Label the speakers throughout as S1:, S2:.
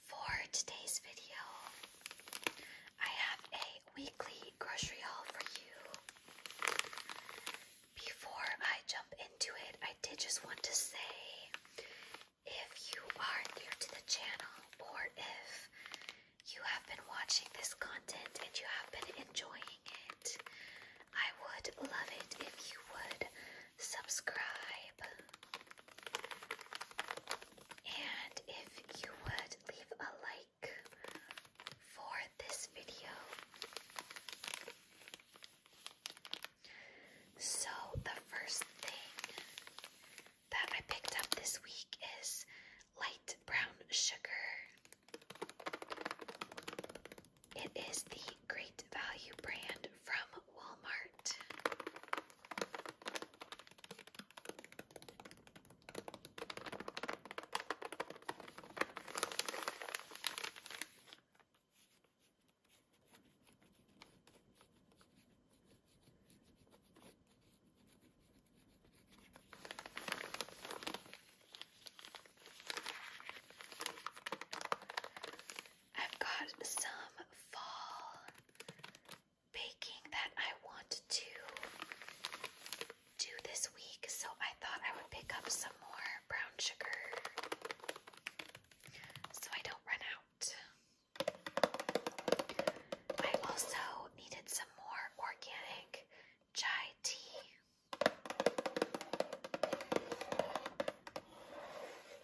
S1: For today's video, I have a weekly grocery haul for you. Before I jump into it, I did just want to say if you are new to the channel or if you have been watching this content and you have been enjoying it, I would love it if you would subscribe, and if you would leave a like for this video. So, the first thing that I picked up this week is light brown sugar. It is the great value brand from Walmart. I've got some fall baking that I want to do this week, so I thought I would pick up some more brown sugar so I don't run out. I also needed some more organic chai tea.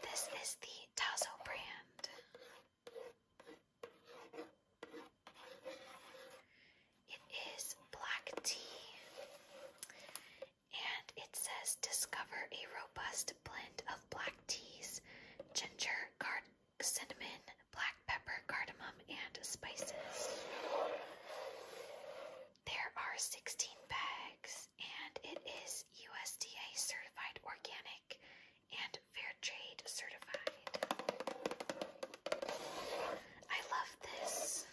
S1: This is the Tazo brand. It is black tea, and it says discover a robust blend of black teas, ginger, card, cinnamon, black pepper, cardamom, and spices. There are 16 bags, and it is USDA certified organic and fair trade certified. I love this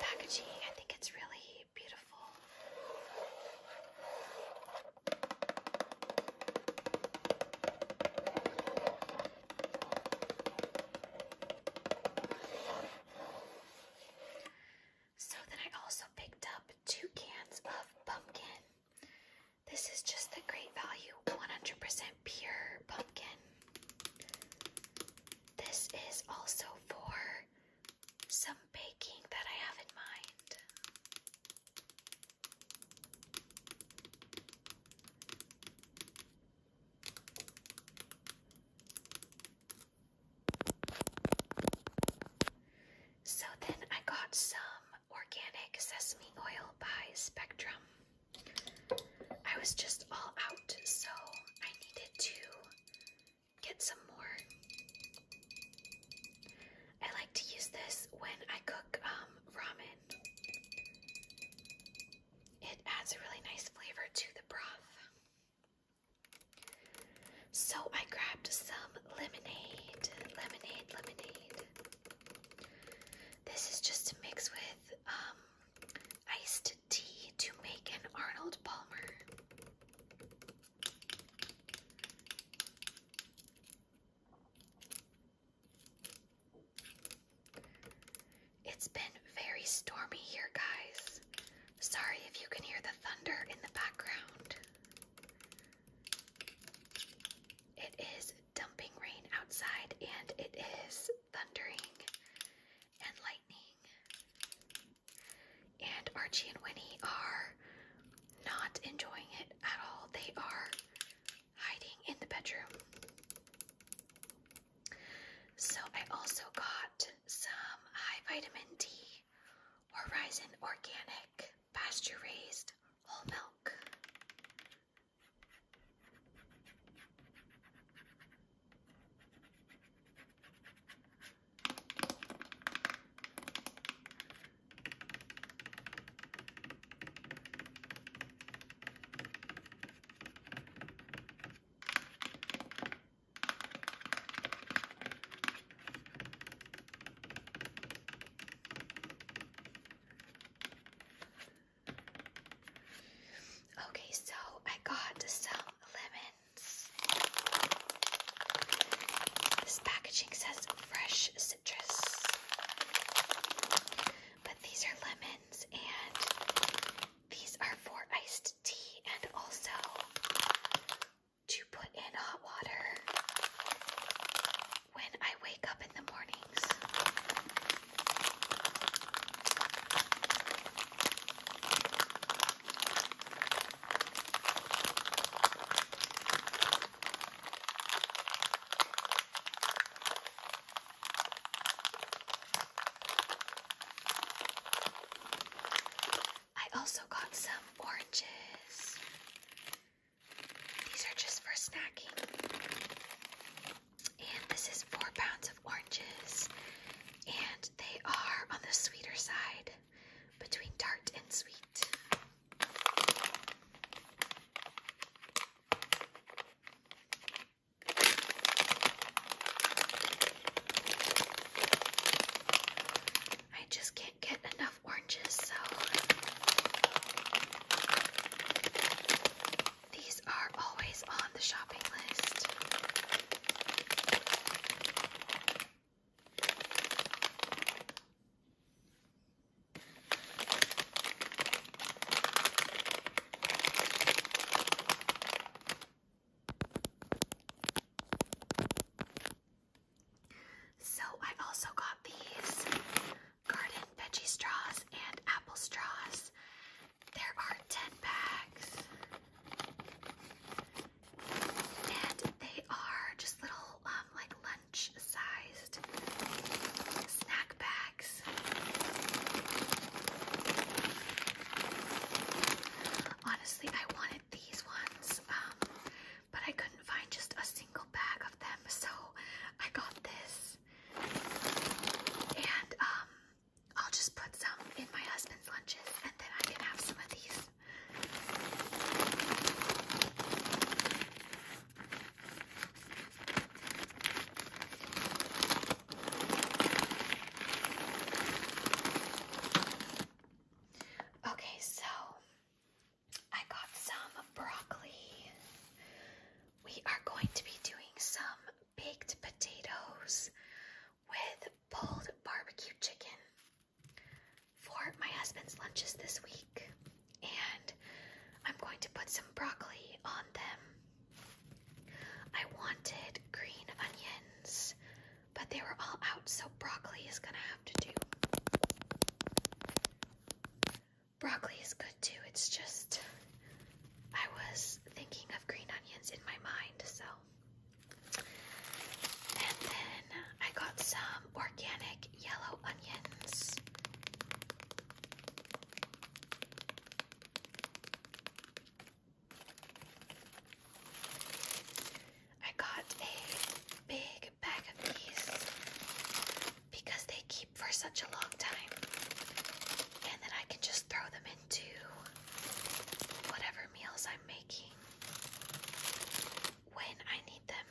S1: packaging, I think it's really beautiful. So then I also picked up two cans of pumpkin. This is just the great value 100% pure pumpkin. This is also for some baking that I have in mind. So then I got some organic sesame oil by Spectrum. I was just all out, so I needed to get some more. I like to use this when I cook um, ramen it adds a really nice flavor to the broth. So I grabbed some lemonade, lemonade, lemonade. This is just to mix with um, iced tea to make an Arnold Palmer. It's been very stormy here, guys. Sorry if you can hear the thunder in the background. It is dumping rain outside and it is thundering and lightning. And Archie and Winnie are not enjoying it at all. They are hiding in the bedroom. So I also got some high vitamin D Horizon Organic pasture raised whole milk. Okay, so I got some lemons. This packaging says fresh citrus, but these are lemons and these are for iced tea and also to put in hot water when I wake up in the mornings. I also got some oranges. These are just for snacking. And this is four pounds of oranges. And they are on the sweeter side between tart and sweet. I just can't get enough oranges, so these are always on the shopping list. So I also got these garden veggie straws and apple straws. There are 10 bags. And they are just little um, like lunch size snack bags. Honestly, I wanted these ones, um, but I couldn't find just a single bag of them, so I got this. And um, I'll just put some in my husband's lunches and then I can have some of these. Okay, so I got some broccoli. We are going to be doing some baked potatoes with pulled barbecue chicken for my husband's lunches this week and I'm going to put some broccoli on them. I wanted green onions, but they were all out, so broccoli is gonna have to do. Broccoli is good too, it's just I was thinking of green onions in my mind, so. And then I got some organic yellow onions. I got a big bag of these because they keep for such a long time, and then I can just throw them into whatever meals I'm making when I need them.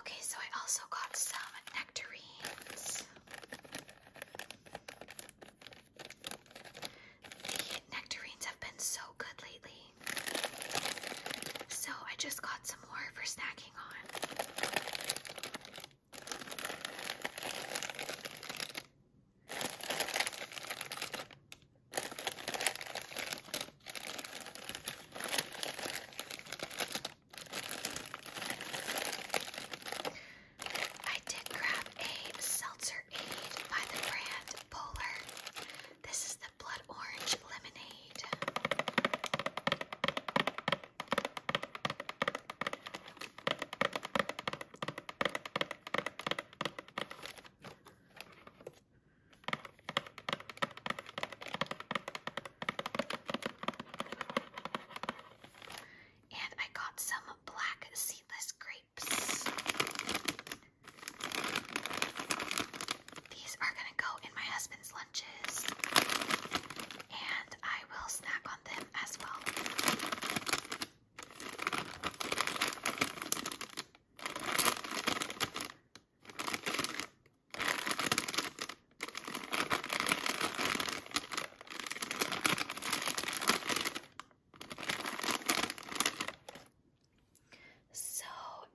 S1: Okay, so I also got some nectarines nectarines have been so good lately. So I just got some more for snacking on. I did grab a seltzer aid by the brand Polar. This is the blood orange lemonade and I got some black seedless grapes. These are gonna go in my husband's lunches, and I will snack on them as well. So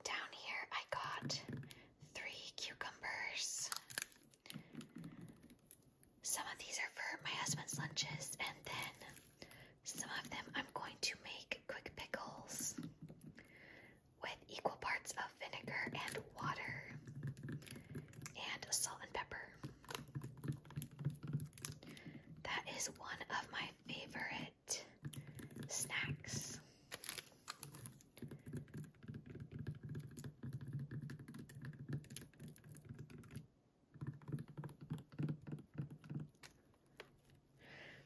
S1: down here I got three cucumbers. Some of these are for my husband's lunches and then some of them I'm going to make quick pickles with equal parts of vinegar and water and salt and pepper. That is one of my favorite snacks.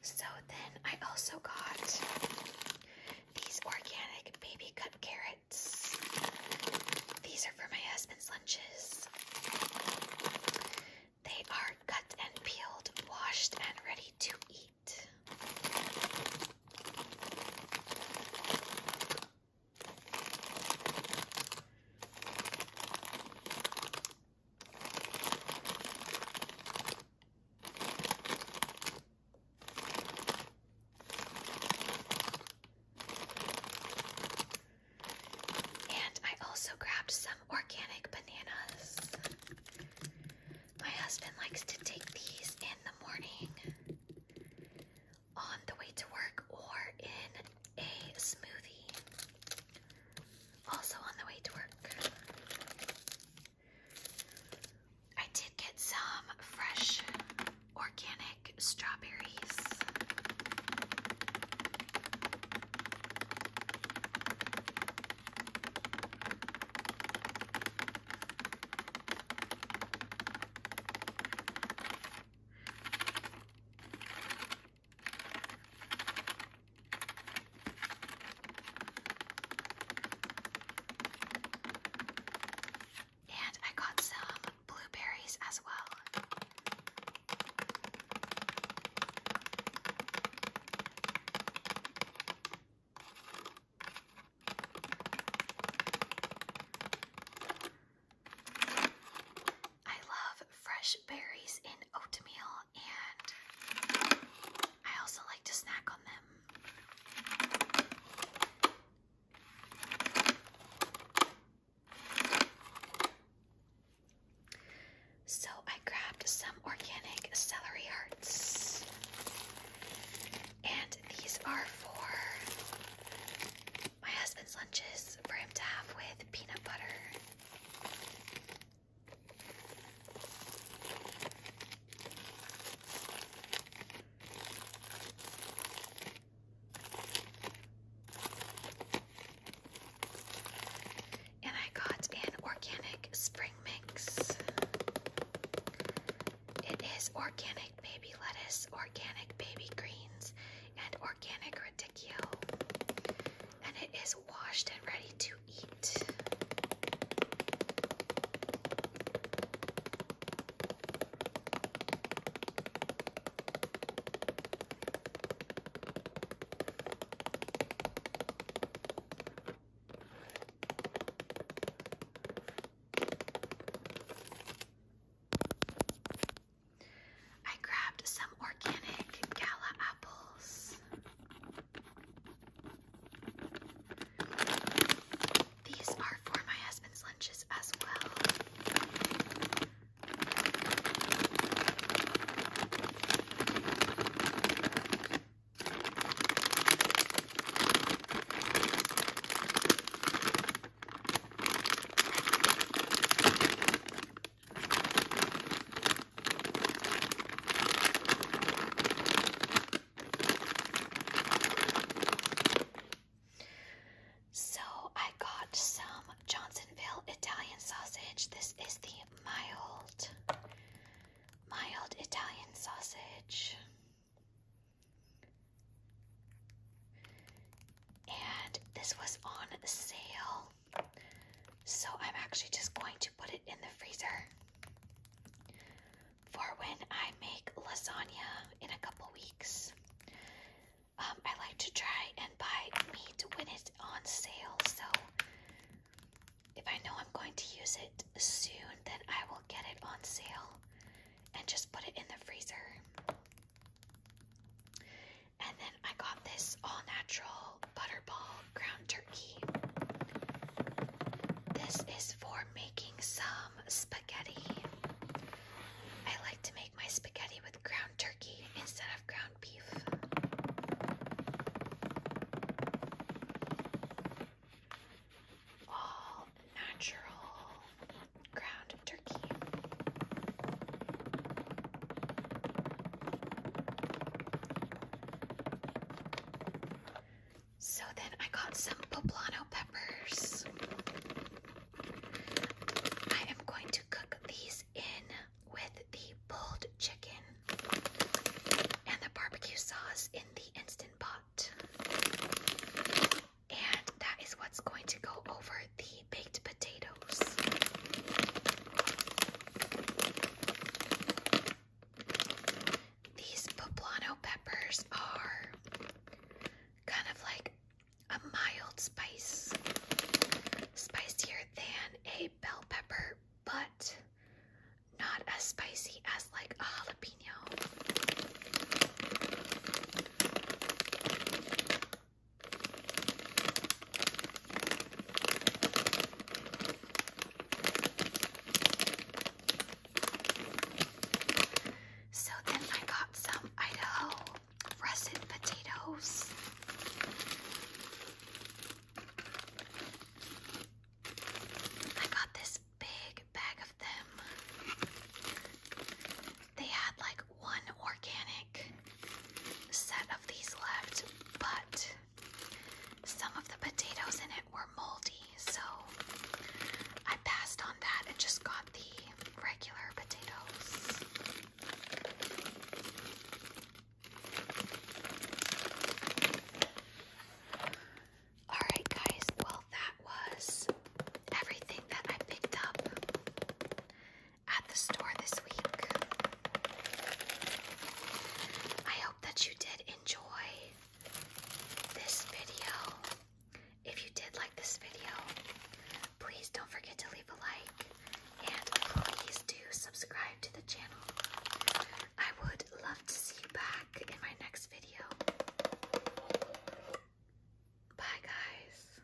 S1: So then I also got these organic baby cut carrots. These are for my husband's lunches. They are cut and peeled, washed, and ready to eat. And I also grabbed some organic bananas. My husband likes to take these in the morning on the way to work or in a smoothie. Also on the way to work. I did get some fresh organic strawberries. And I got some blueberries as well. I love fresh berries in oatmeal, and I also like to snack on them. So I grabbed some organic celery hearts. And these are for my husband's lunches for him to have with peanut butter. And I got an organic spring mix. It is organic baby lettuce, organic baby greens, and organic radicchio. And it is washed and ready to eat. I grabbed some organic gala apples. These are for my husband's lunches as well. So I got some Johnsonville Italian sausage. This is the mild, mild Italian sausage. And this was on sale. So I'm actually just going to put it in the freezer for when I make lasagna in a couple weeks. Um, I like to try and buy meat when it's on sale, so if I know I'm going to use it soon, then I will get it on sale and just put it in the freezer. And then I got this all natural butterball ground turkey. This is for making some um, spaghetti. I like to make my spaghetti with ground turkey instead of ground beef. All natural ground turkey. So then I got some poblano peppers. I am going to cook these in with the pulled chicken and the barbecue sauce in the instant pot. And that is what's going to go over the baked potatoes. These poblano peppers are kind of like a mild spice, spicier than a bell pepper, but not as spicy as like a jalapeno. So then I got some Idaho russet potatoes. I got this big bag of them. They had like one organic set of these left, but some of the potatoes in it were moldy, so I passed on that and just got the regular potatoes. Alright, guys, well, that was everything that I picked up at the store this week. I hope that you did enjoy this video. If you did like this video, please don't forget to leave a like and please do subscribe to the channel. I would love to see you back in my next video. Bye, guys.